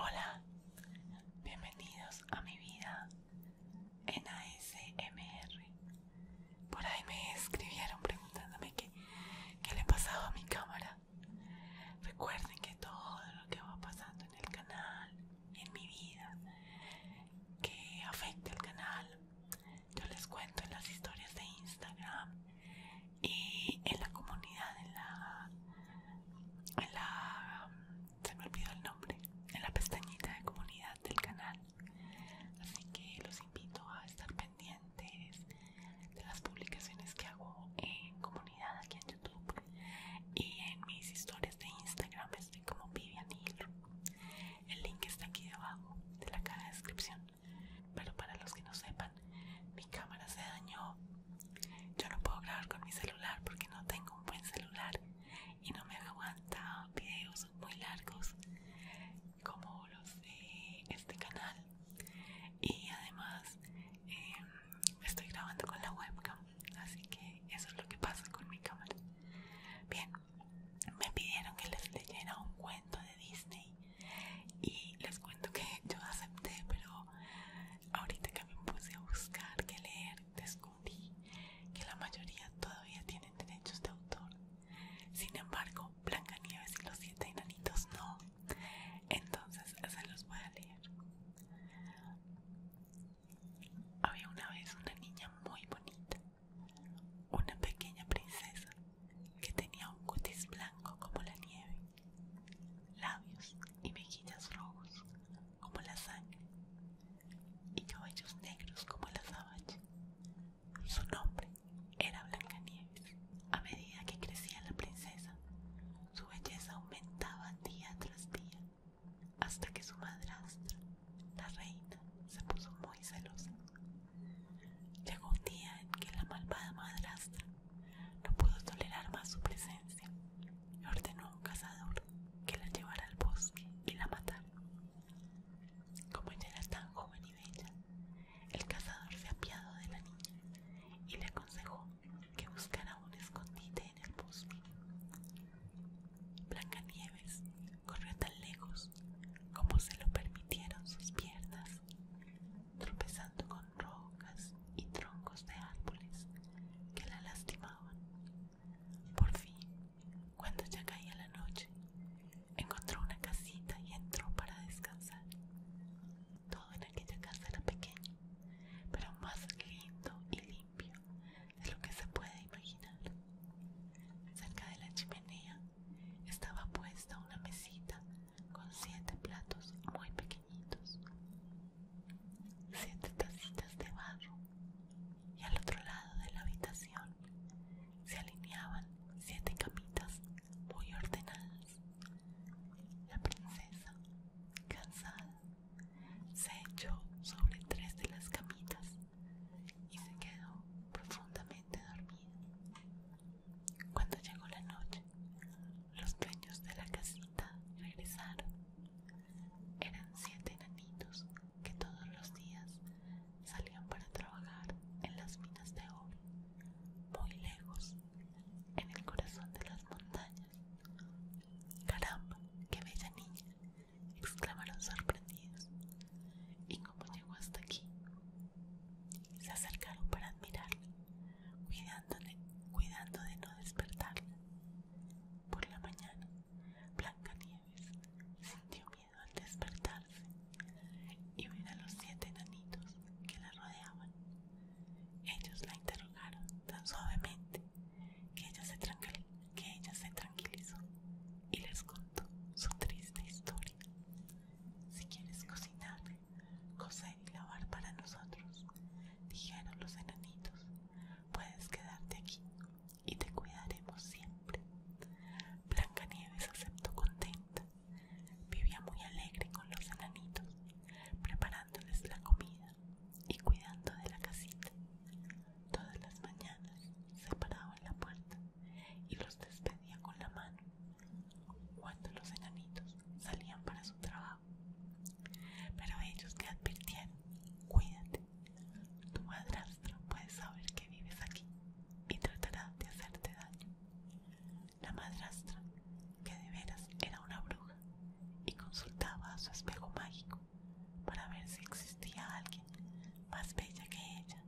Hola, bienvenidos a mi vida en ASMR. Por ahí me escribieron preguntándome qué, qué le pasaba a mi cámara. Recuerden que todo lo que va pasando en el canal en mi vida que afecte al canal. Yo les cuento en las historias de Instagram y en la comunidad, en la, en la, se me olvidó el nombre, en la pestañita de comunidad del canal. Así que los invito a estar pendientes de las publicaciones que hago en comunidad aquí en YouTube y en mis historias de Instagram estoy como Vivian El link está aquí debajo de la caja de descripción. Pero para los que no sepan, mi cámara se dañó. Yo no puedo grabar con mi celular porque no tengo un buen celular y no me aguanta videos muy largos como los de este canal. Y además em, estoy grabando con la webcam así que eso es lo que pasa con mi cámara bien me pidieron que les leyera un cuento de Disney y les cuento que yo acepté pero ahorita que me puse a buscar qué leer descubrí que la mayoría todavía tienen derechos de autor sin embargo Blancanieves y los siete enanitos no entonces se los voy a leer había una vez una niña muy bonita, una pequeña princesa que tenía un cutis blanco como la nieve, labios y mejillas rojos como la sangre y cabellos negros como la sabache. Su nombre era Blancanieves. A medida que crecía la princesa, su belleza aumentaba día tras día hasta que su madrastra, la reina, se puso muy celosa. Llegó un día en que la malvada madrastra no pudo tolerar más su presencia y ordenó a un cazador que la llevara al bosque y la matara. Como ella era tan joven y bella, el cazador se apiado de la niña y le aconsejó que buscara un escondite en el bosque. Blanca Nieves corrió tan lejos como se lo permitieron sus piernas, tropezando con rocas y troncos de árboles que la lastimaban. Por fin, cuando ya caía la noche, encontró una casita y entró para descansar. Todo en aquella casa era pequeño pero más lindo y limpio de lo que se puede imaginar. Cerca de la chimenea estaba puesta una mesita con siete platos muy pequeñitos, siete tacitas de barro, y al otro lado de la habitación se alineaban siete camitas muy ordenadas. La princesa, cansada se echó sobre tres de las camitas y se quedó profundamente dormido Cuando llegó la noche, los dueños de la casita regresaron. Eran siete enanitos que todos los días salían para trabajar en las minas de oro, muy lejos, en el corazón de las montañas Caramba, qué bella niña, exclamaron sorprendidos. ¿Y cómo llegó hasta aquí? Se acercaron para admirarla, cuidando de, cuidando de no despertarla. Por la mañana, Blancanieves sintió miedo al despertarse y ver a los siete enanitos que la rodeaban. Ellos la interrogaron tan suavemente que ella se, tranquilizó y les contó su triste historia. Si quieres cocinar, coser y lavar para nosotros, dijeron los enanitos, puedes quedarte aquí y te cuidaremos siempre. Blancanieves aceptó contenta. Vivía muy alegre con los enanitos, preparándoles la comida y cuidando de la casita. Todas las mañanas se paraba en la puerta y los despedía con la mano cuando los enanitos salían para su trabajo. Pero ellos le advirtieron, cuídate, tu madrastro puede saber que vives aquí y tratará de hacerte daño la madrastra, que de veras era una bruja, y consultaba a su espejo mágico para ver si existía alguien más bella que ella,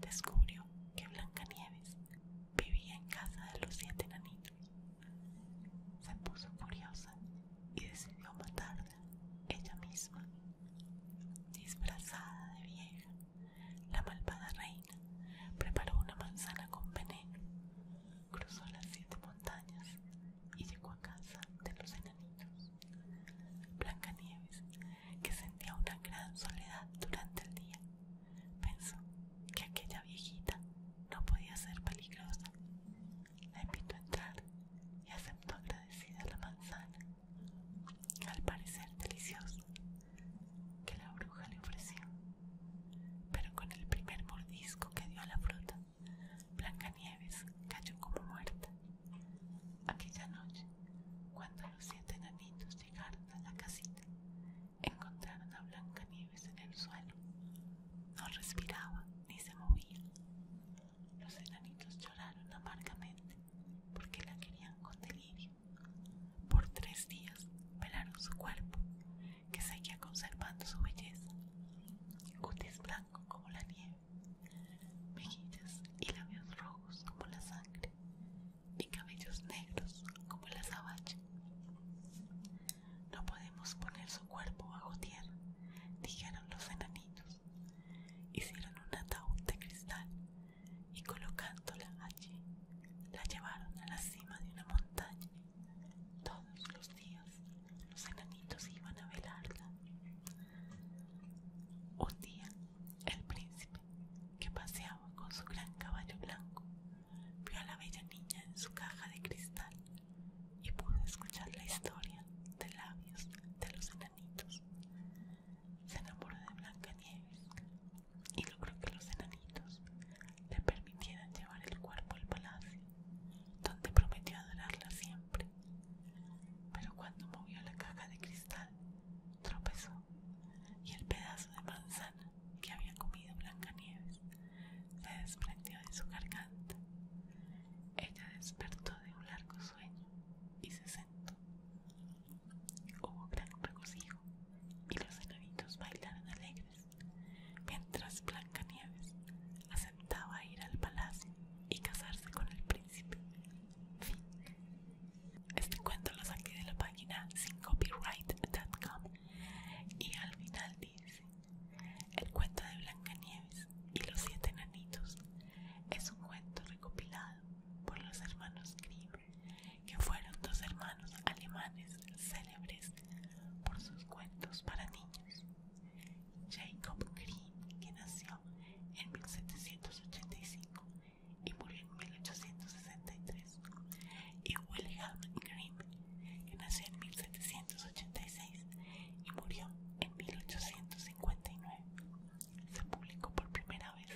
descubrió que Blancanieves vivía en casa de los siete enanitos, Se puso curiosa y decidió matarla ella misma. Disfrazada de vieja, la malvada reina preparó una manzana con veneno cruzó las siete montañas y llegó a casa de los enanitos. Blancanieves, que sentía una gran soledad durante el día, pensó que aquella viejita no podía ser peligrosa. La invitó a entrar y aceptó agradecida la manzana, al parecer deliciosa, que la bruja le ofreció. Pero con el primer mordisco que dio a la fruta, Blancanieves cayó como muerta. Aquella noche, cuando los siete enanitos llegaron a la casita, encontraron a Blancanieves en el suelo. No respiraba ni se movía. Los enanitos lloraron amargamente porque la querían con delirio. Por tres días velaron su cuerpo que seguía conservando su belleza, cutis blanco como la nieve, mejillas y labios rojos como la sangre, y cabellos negros como la sabache. No podemos poner su cuerpo bajo tierra, dijeron los enanitos. Hicieron un ataúd de cristal y colocándola allí, la llevaron a la cima de una montaña todos los días los enanitos iban a velarla. Un día el príncipe, que paseaba con su gran caballo blanco, vio a la bella niña en su caja de cristal y pudo escuchar la historia de labios de los enanitos. Se enamoró de Blancanieves y logró que los enanitos le permitieran llevar el cuerpo al palacio, donde prometió adorarla siempre. Pero cuando movió la caja de cristal, tropezó y el pedazo de manzana que había comido Blancanieves se desprendió de su garganta. Ella despertó de un largo sueño y se sentó. Hubo gran regocijo y los enanitos bailaron alegres, mientras Blancanieves aceptaba ir al palacio y casarse con el príncipe. Este cuento lo saqué de la página sin y al final dice: El cuento de Blancanieves y los siete enanitos es un cuento recopilado por los hermanos Grimm que fueron dos hermanos alemanes célebres por sus cuentos para niños. Jacob Grimm, que nació en 1785 y murió en 1863, y Wilhelm Grimm, que nació en 1786 y murió en 1859. Se publicó por primera vez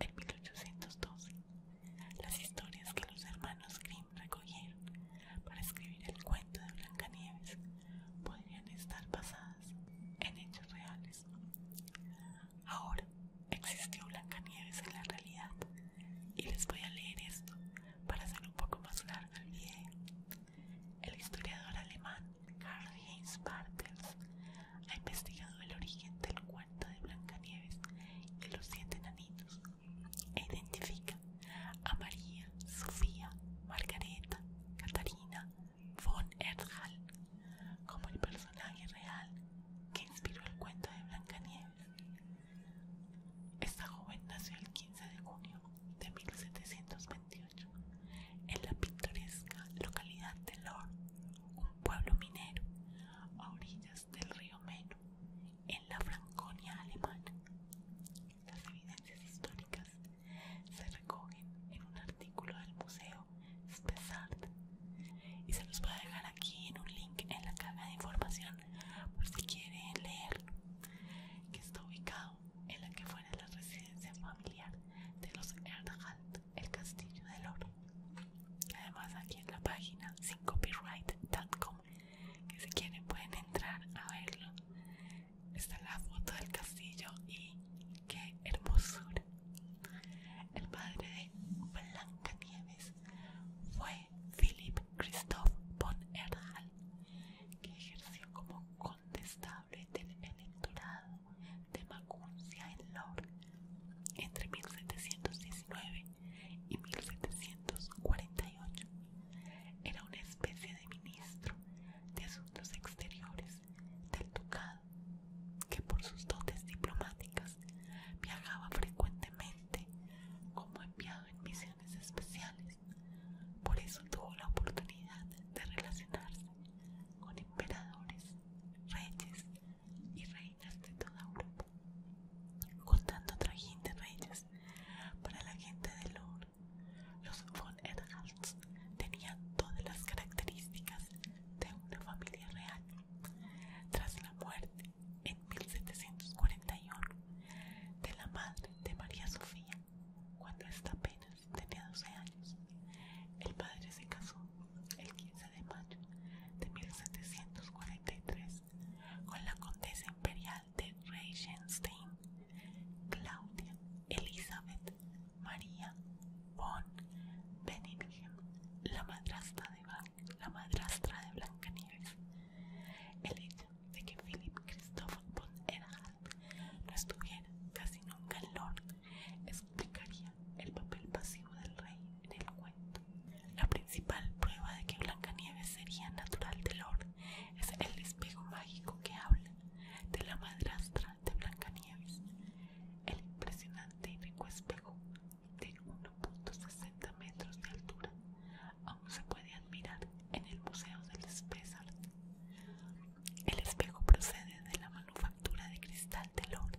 en 1812 las historias que los hermanos Grimm recogieron para escribir el cuento de Blancanieves podrían estar basadas en hechos reales. Ahora existió Blancanieves en la realidad y les voy a leer esto para hacer un poco más largo el video. El historiador alemán Karl Heinz Bartels ha investigado el origen del cuento de Blancanieves y los siete enanitos e identifica a María, Sofía, Margareta, Catarina von Erthal como el personaje real que inspiró el cuento de Blancanieves. Esta joven nació el 15 de junio de 1728 en la pintoresca localidad de Lor, un pueblo minero del río Meno, en la Franconia alemana. Las evidencias históricas se recogen en un artículo del Museo Spessart y se los voy dejar aquí en un link en la caja de información por si quieren leer. que está ubicado en la que fuera la residencia familiar de los Erdhalt el castillo del oro. Además aquí en la página sin copyright.com que si quieren pueden entrar a verlo. Está la foto del castillo y qué hermosura. El padre de Nieves fue Philip Christoph von Erhal, que ejerció como contestable del electorado de Macuncia en Lor entre 1719 y 1748. Era una especie de ministro de asuntos exteriores del ducado que por sus dotes diplomáticas viajaba frecuentemente como enviado en misiones especiales. Por eso tuvo la oportunidad de relacionarse con emperadores, reyes y reinas de toda Europa, contando trajín de reyes para la gente de Lourdes. Los von Edhards tenían todas las características de una familia real. Tras la muerte en 1741 de la madre de María Sofía, cuando esta apenas tenía 12 años, el padre se casó el 15 de mayo de 1743 con la condesa imperial de Reichenstein, Claudia Elizabeth Maria von Benningham, la madrastra de, la madrastra de Blancanieves. El hecho de que Philip Christoph von Erhard no estuviera casi nunca en Lord explicaría el papel pasivo del rey en el cuento. La principal prueba de que Blancanieves sería natural del oro es el espejo mágico que habla de la madrastra de Blancanieves. El impresionante y rico espejo de 1.60 metros de altura aún se puede admirar en el Museo del El espejo procede de la manufactura de cristal de Lore,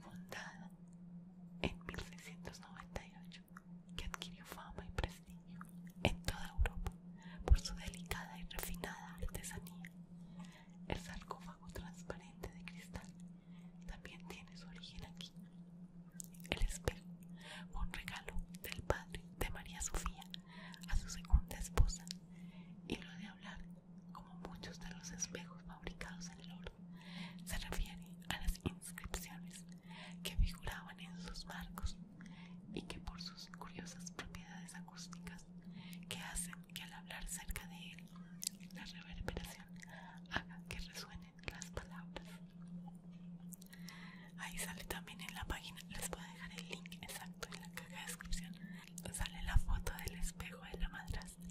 fundada en 1698, que adquirió fama y prestigio en toda Europa por su delicada y refinada artesanía. El sarcófago transparente de cristal también tiene su origen aquí. El espejo fue un regalo del padre de María Sofía a su segunda esposa y lo de hablar como muchos de los espejos fabricados en el oro, se refiere a las inscripciones que figuraban en sus marcos y que por sus curiosas propiedades acústicas que hacen que al hablar cerca de él la reverberación haga que resuenen las palabras. Ahí sale también en la página, les voy a dejar el link exacto en la caja de descripción sale la foto del espejo de la madrastra.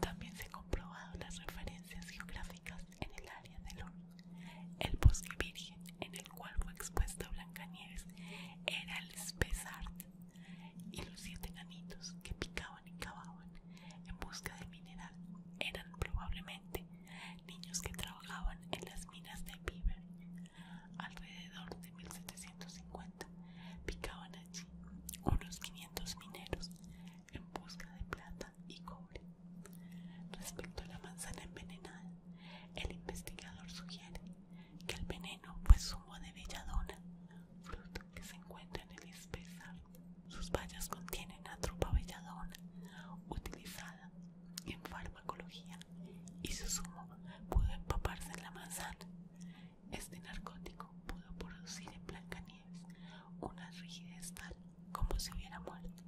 También se han comprobado las referencias geográficas en el área del horno. El bosque virgen en el cual fue expuesta Blancanieves era el Spesart y los siete ganitos que picaban y cavaban en busca de mineral eran probablemente niños que trabajaban en las minas de Beaver alrededor de 1750 picaban allí unos 500 mineros en busca de plata y cobre. Respecto a la manzana envenenada, el investigador sugiere que el veneno fue zumo de belladona, fruto que se encuentra en el espesar. Sus bayas contienen atropa belladona, utilizada en fármacos y su zumo pudo empaparse en la manzana. Este narcótico pudo producir en Blancanieves una rigidez tal como si hubiera muerto.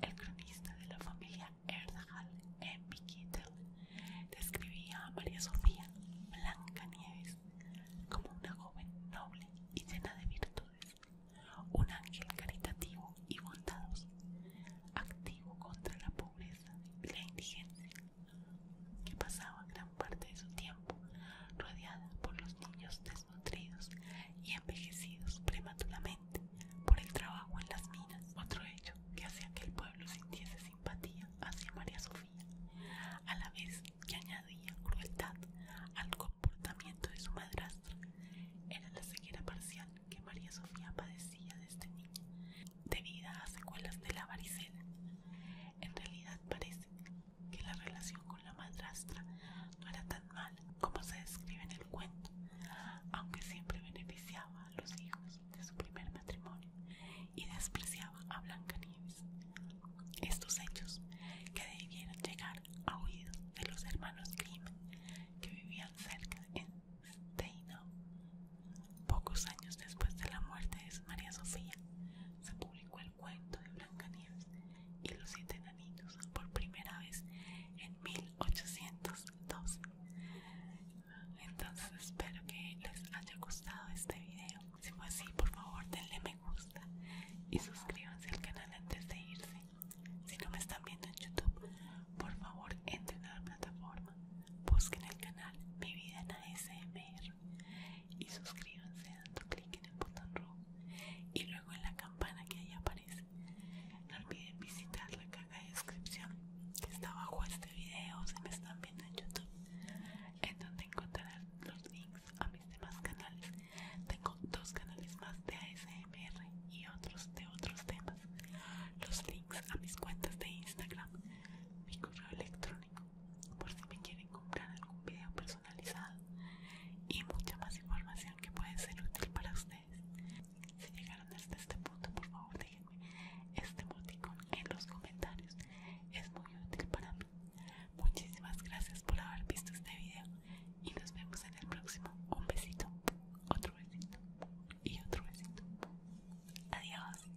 El cronista de la familia Erdhal M. Kittel describía a María Sofía Blancanieves como una joven noble y llena de virtudes, un ángel caritativo y bondadoso, activo contra la pobreza y la indigencia, que pasaba gran parte de su tiempo rodeada por los niños desnutridos y envejecidos prematuramente por el trabajo en las minas, otro hecho que hacía que el pueblo sintiese simpatía hacia María Sofía, a la vez que añadía crueldad al comportamiento de su madrastra, era la ceguera parcial que María Sofía padecía desde este niña, debido a secuelas de la varicela. En realidad parece que la relación con la madrastra no era tan mala como se describe en el cuento, aunque siempre beneficiaba a los hijos de su primer matrimonio y despreciaba a Blancanieves. Estos hechos, que debieron llegar a oídos de los hermanos Grimm, que vivían cerca en Deino, Pocos años después de la muerte de María Sofía, se publicó el cuento de Blancanieves y los siete enanitos por primera vez en 1812. Entonces espero que les haya gustado este video. Si fue así, por favor denle me gusta y suscríbanse al canal antes de irse. Si no me están viendo en YouTube, por favor entren a la plataforma, busquen el canal Mi Vida en ASMR y suscríbanse dando clic en el botón rojo y luego en la campana que ahí aparece. No olviden visitar la caja de descripción que está bajo este video si me están viendo en YouTube, en donde encontrarán los links a mis demás canales. Tengo dos canales más de ASMR y otros de otros temas los links a mis cuentas de Instagram, mi correo electrónico, por si me quieren comprar algún video personalizado y mucha más información que puede ser útil para ustedes. Si llegaron hasta este punto, por favor déjenme este emoticón en los comentarios, es muy útil para mí. Muchísimas gracias por haber visto este video y nos vemos en el próximo. Un besito. Otro besito y otro besito. Adiós.